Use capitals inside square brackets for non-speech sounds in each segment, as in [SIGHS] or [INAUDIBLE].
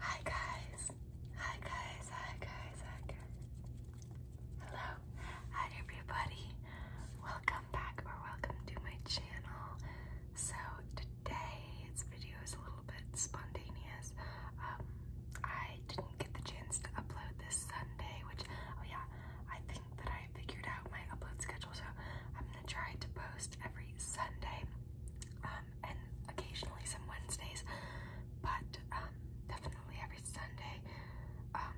Hi guys. Hi guys. Hi guys. Hi guys. Hello. Hi everybody. Welcome back or welcome to my channel. So today's video is a little bit spontaneous. Um, I didn't get the chance to upload this Sunday, which oh yeah, I think that I figured out my upload schedule, so I'm gonna try to post every Sunday. Um, um, and occasionally some Wednesdays, but um, definitely every Sunday. Um,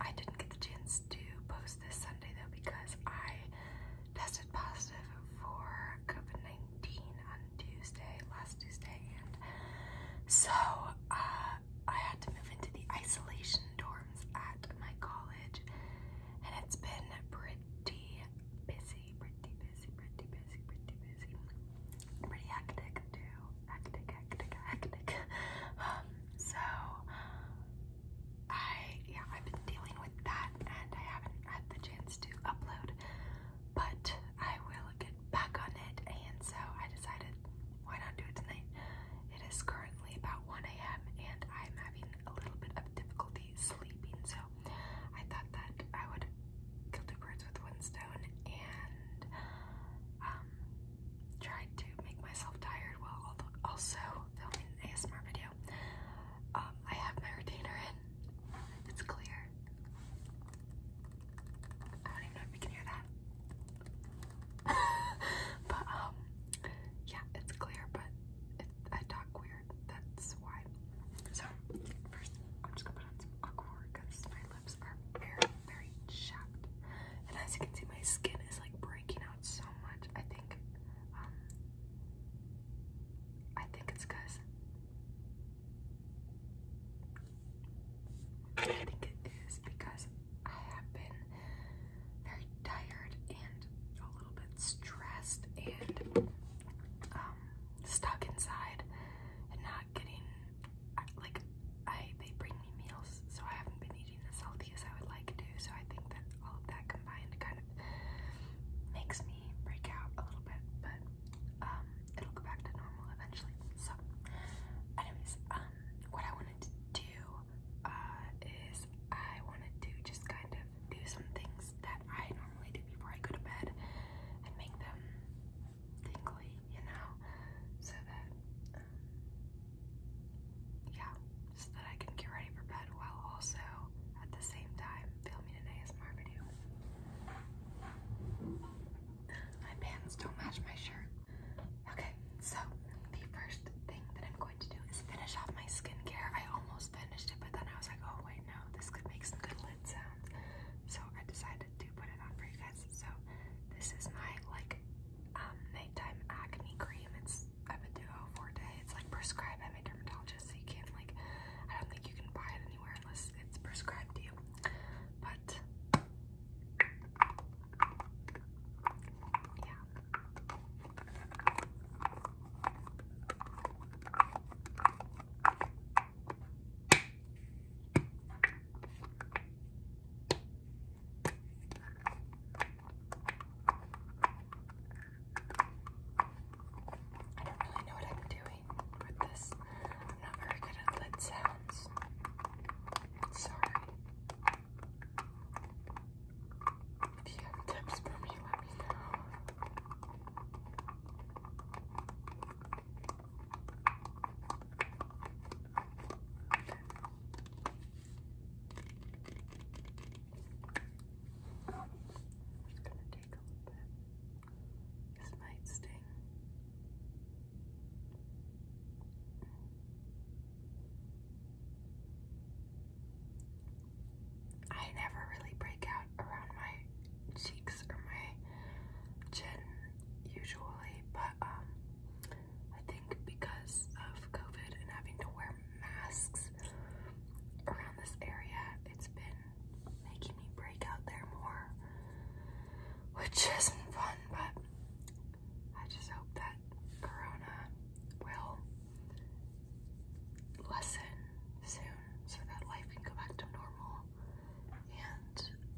I didn't get the chance to post this Sunday though because I tested positive for COVID 19 on Tuesday, last Tuesday, and so uh, I had to move into the isolation dorms at my college, and it's been pretty busy, pretty busy, pretty busy, pretty busy. Pretty hectic too. Hectic, hectic, hectic. [SIGHS] Um, so I yeah, I've been dealing with that and I haven't had the chance to upload, but I will get back on it and so I decided why not do it tonight? It is currently about 1 a.m. and I'm having a little bit of difficulty sleeping. So I thought that I would kill two birds with one stone and um, try to make myself tired while also filming an ASMR video. Um, I have my retainer in. It's clear. I don't even know if you can hear that. [LAUGHS] but um, yeah, it's clear, but I talk weird. That's why. So first, I'm just gonna put on some aquaphor because my lips are very, very chapped. And as you can see, my skin is like breaking out so much. I think, um, I think it's because I think it is because I have been very tired and and a little bit stressed and um, stuck inside and not getting like I they bring me meals, so I haven't been eating as healthy as I would like to. So I think that all of that combined kind of makes me break out a little bit, but um, it'll go back to normal eventually. So, anyways, um, what I wanted to do uh, is I wanted to just kind of do some things that I normally do before I go to bed and make them tingly, you know, so that, um, yeah, so that I can get ready for bed while also at the same time filming an ASMR video. My pants don't match my shirt. Okay, so the first thing that I'm going to do is finish off my skincare. I almost finished but then I was like, oh wait, no, this could make some good lid sounds. So I decided to put it on for you guys. So this is my like um, nighttime acne cream. It's I've been doing for day. It's like prescribed by my dermatologist, so you can't like I don't think you can buy it anywhere unless it's prescribed to you. But yeah. I don't really know what I'm doing with this. I'm not very good at lid sounds. Sorry. If you have tips for me, let me know. gonna take a little bit. This might sting. I never really break out around my cheeks or my chin usually, but um, I think because of COVID and having to wear masks around this area, it's been making me break out there more, which [LAUGHS] isn't fun, but I just hope that corona will lessen soon so that life can go back to normal and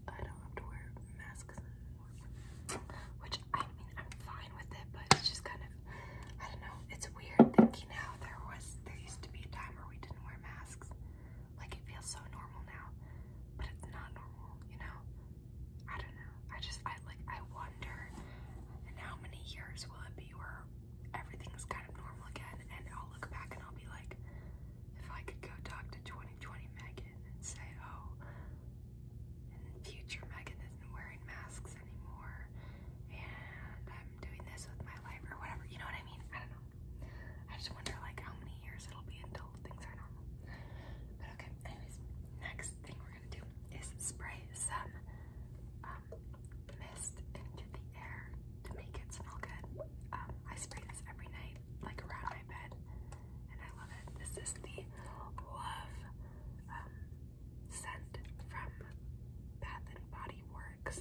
I don't have to wear masks anymore. Which I mean I'm fine with it but it's just kind of I don't know, it's weird thinking how there was there used to be a time where we didn't wear masks. Like it feels so normal now, but it's not normal, you know? I don't know. I just I like I want wonder how many years will it be where everything's kind of normal again and I'll look back and I'll be like, if I could go talk to 2020 Megan and say, oh, in future Megan isn't wearing masks anymore and I'm doing this with my life or whatever, you know what I mean? I don't know. I just wonder like how many years it'll be until things are normal. But okay, anyways, next thing is spray some um, mist into the air to make it smell good. Um, I spray this every night, like around my bed, and I love it. This is the Love um, scent from Bath and Body Works.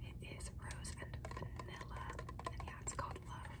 It is rose and vanilla, and yeah, it's called Love.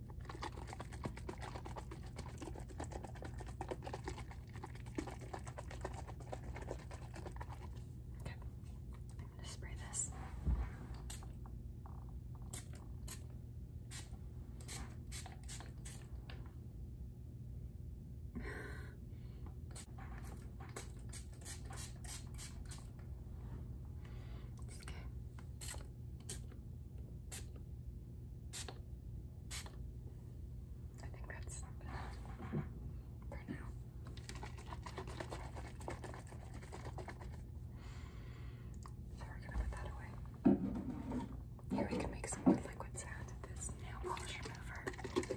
Okay, I'm going to spray this. It's [LAUGHS] okay. I think that's for now. So we're gonna put that away. Here we can make some good liquid sounds with this nail polish remover.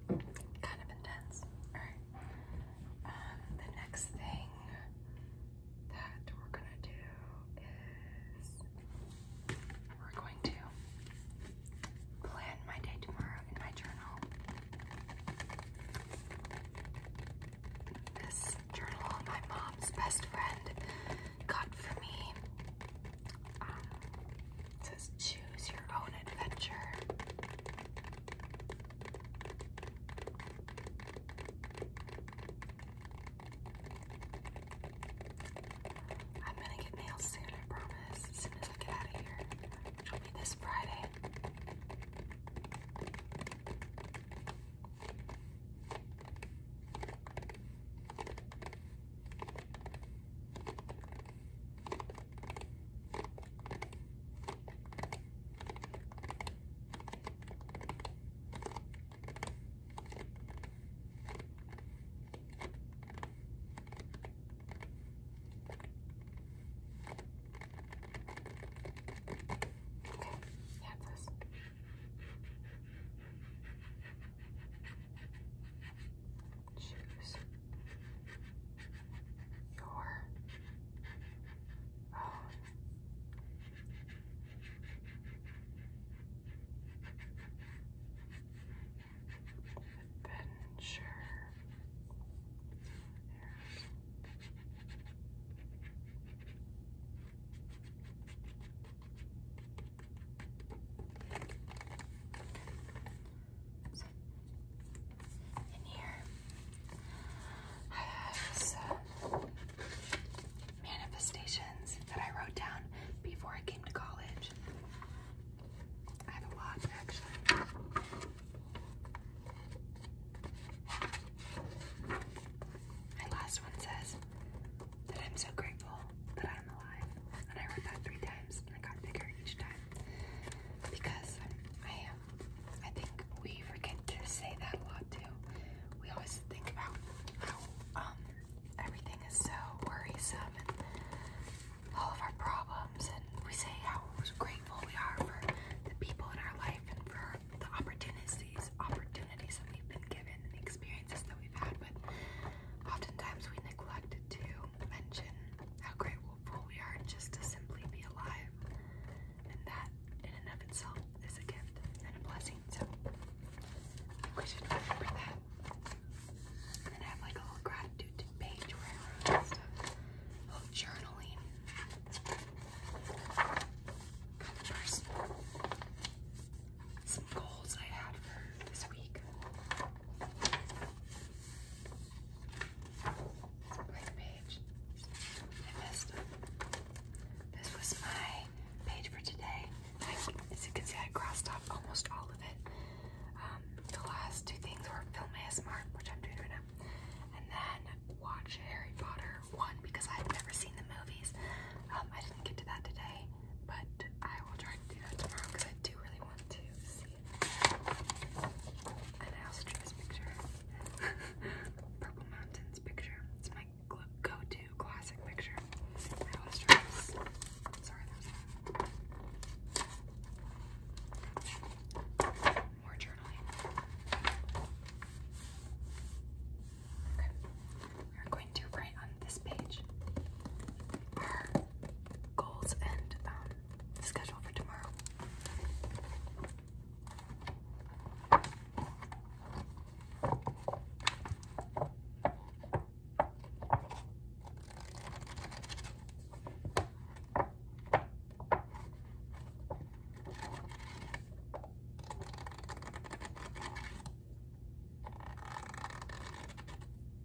kind of intense. Alright. Um, the next thing that we're gonna do is we're going to plan my day tomorrow in my journal. This journal my mom's best friend got for me. Um, it says choose your own adventure. I'm gonna get nails soon, I promise, as soon as I get out of here, which will be this Friday. Okay, that's this choose your own adventure. There's in here, I have manifestations that I wrote down before I came to college. I have a lot, actually. My last one says that I'm so grateful that I'm alive, and I wrote that three times. I got bigger each time because I am. I think we forget to say that a lot too. We always think about how um, everything is so worrisome and all of our problems, and we say how grateful we are for the people in our life and for the opportunities, opportunities that we've been given, and the experiences that we've had. But oftentimes we neglect it too mention how grateful we are just to simply be alive, and that in and of itself is a gift and a blessing. So we should remember that. And then have like a little gratitude page where I wrote journaling Some goals I had for this week. Where's page? I missed This was my page for today. as you can see, I crossed off almost all of it. Um, the last two things were film ASMR, which I'm doing right now, and then watch Harry Potter 1 because I've never seen the movies. Um, I didn't get to that today, but I will try to do that tomorrow because I do really want to see an astro's picture. [LAUGHS] Purple Mountains picture. It's my go-to classic picture. My astro's. Sorry, More journaling. Okay. We're going to write on this page are goals and um, schedule for tomorrow.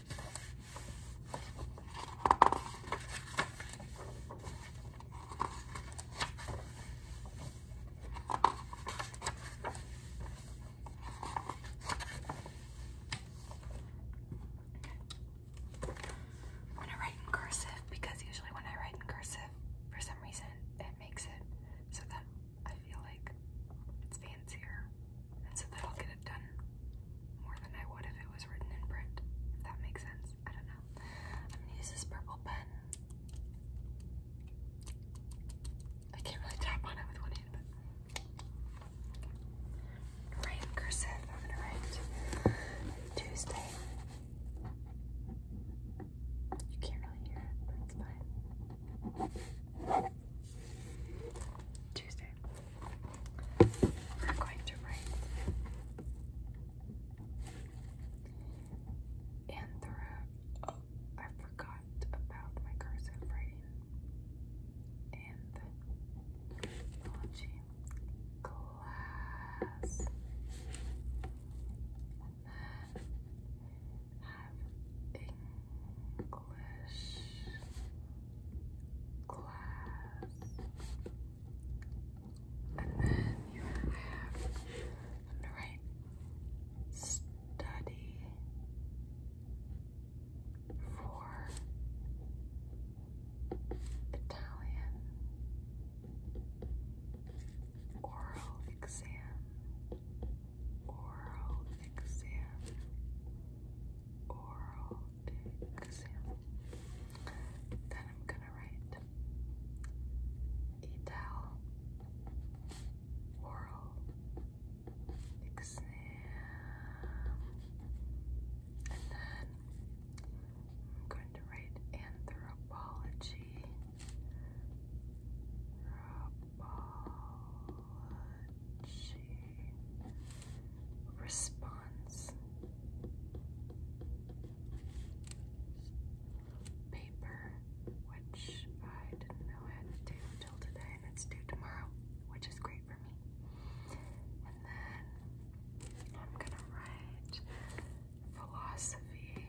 I'm gonna write in cursive because usually when I write in cursive, for some reason it makes it so that I feel like it's fancier and so that'll get it done more than I would if it was written in print, if that makes sense. I don't know. I'm gonna use this purple pen. I can't really tap on it with one hand, write in I'm gonna write Tuesday. You can't really hear it, but it's fine. Tuesday. We're going to write in Oh, I forgot about my cursive writing and technology class. And then have English class. And then you have i study for Italian oral exam. Oral exam oral exam. Then I'm gonna write etal oral exam. And then I'm going to write anthropology response paper, which I didn't know I had to do until today, and it's due tomorrow, which is great for me. And then I'm gonna write philosophy.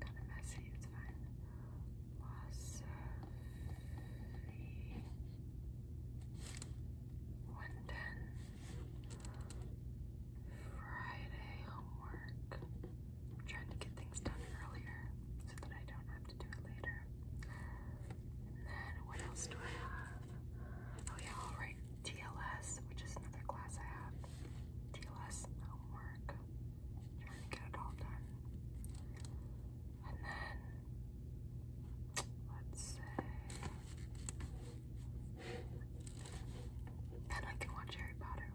Kind of messy, it's fine. Wasafi. One ten. Friday homework. I'm trying to get things done earlier so that I don't have to do it later. And then what else do I have? Oh yeah, I'll which is another class I have. TLS homework trying to get it all done. And then, let's say, then I can watch Harry Potter.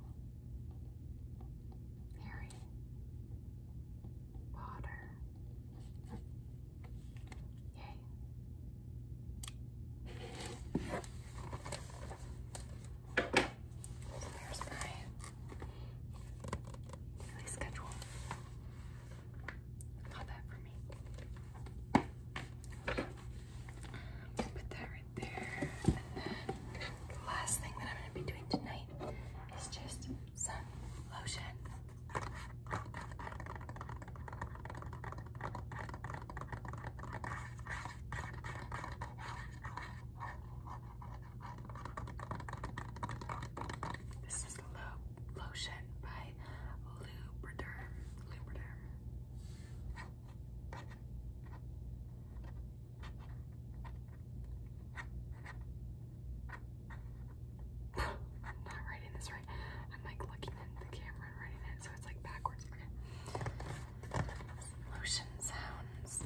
Harry Potter. Yay. There's my daily schedule. Not that for me. Just put that right there. the last thing that I'm gonna be doing tonight is just some lotion. This is the lo lotion by Lubriderm. Lubriderm. I'm not writing this right. I'm like looking in the camera and writing it, so it's like backwards. Okay lotion sounds.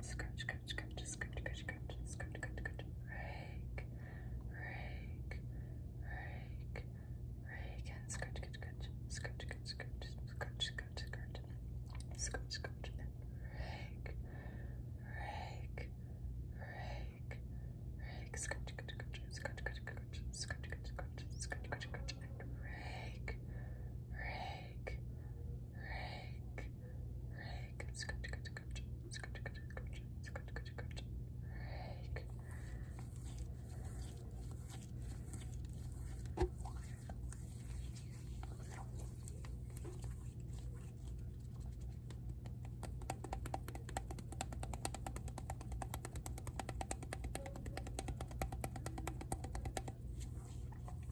Scratch, scratch, scratch, scratch, scratch, scratch, scratch, scratch, rake, rake, rake, Reagan, skirt, skirt, skirt, skirt, skirt, skirt, skirt, skirt, skirt, skirt, and rake, rake, rake, rake, skirt, skirt, skirt, skirt, skirt, skirt, skirt, skirt, skirt, and rake, rake, rake, rake, skirt, skirt, skirt, skirt, skirt, skirt, skirt, skirt, rake.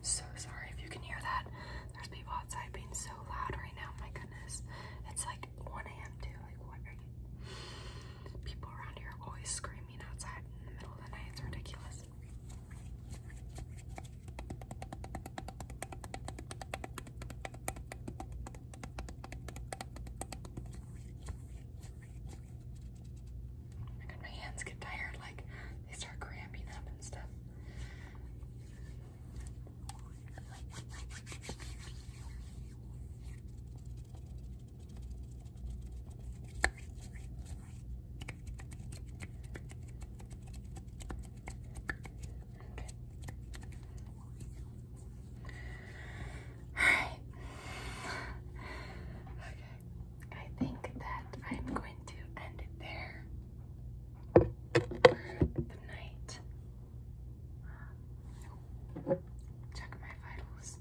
So sorry if you can hear that. There's people outside being so loud right now. My goodness. It's like 1 a.m. too. Like, what are you? People around here are always screaming outside in the middle of the night. It's ridiculous. my hands get tired. Like, they start cramping up and stuff. Alright. Okay. I think that I'm going to end it there for night check my vitals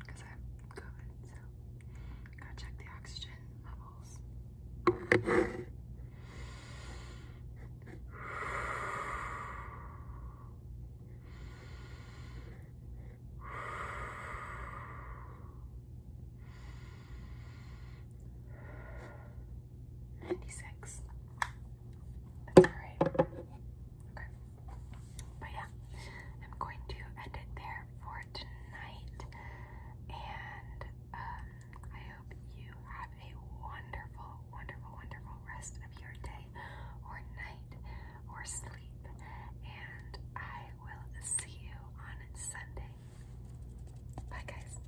I'm COVID, so gotta check the oxygen levels. 96. That's alright. Okay. But yeah, I'm going to end it there for tonight. And um, I hope you have a wonderful, wonderful, wonderful rest of your day or night or sleep. And I will see you on Sunday. Bye, guys.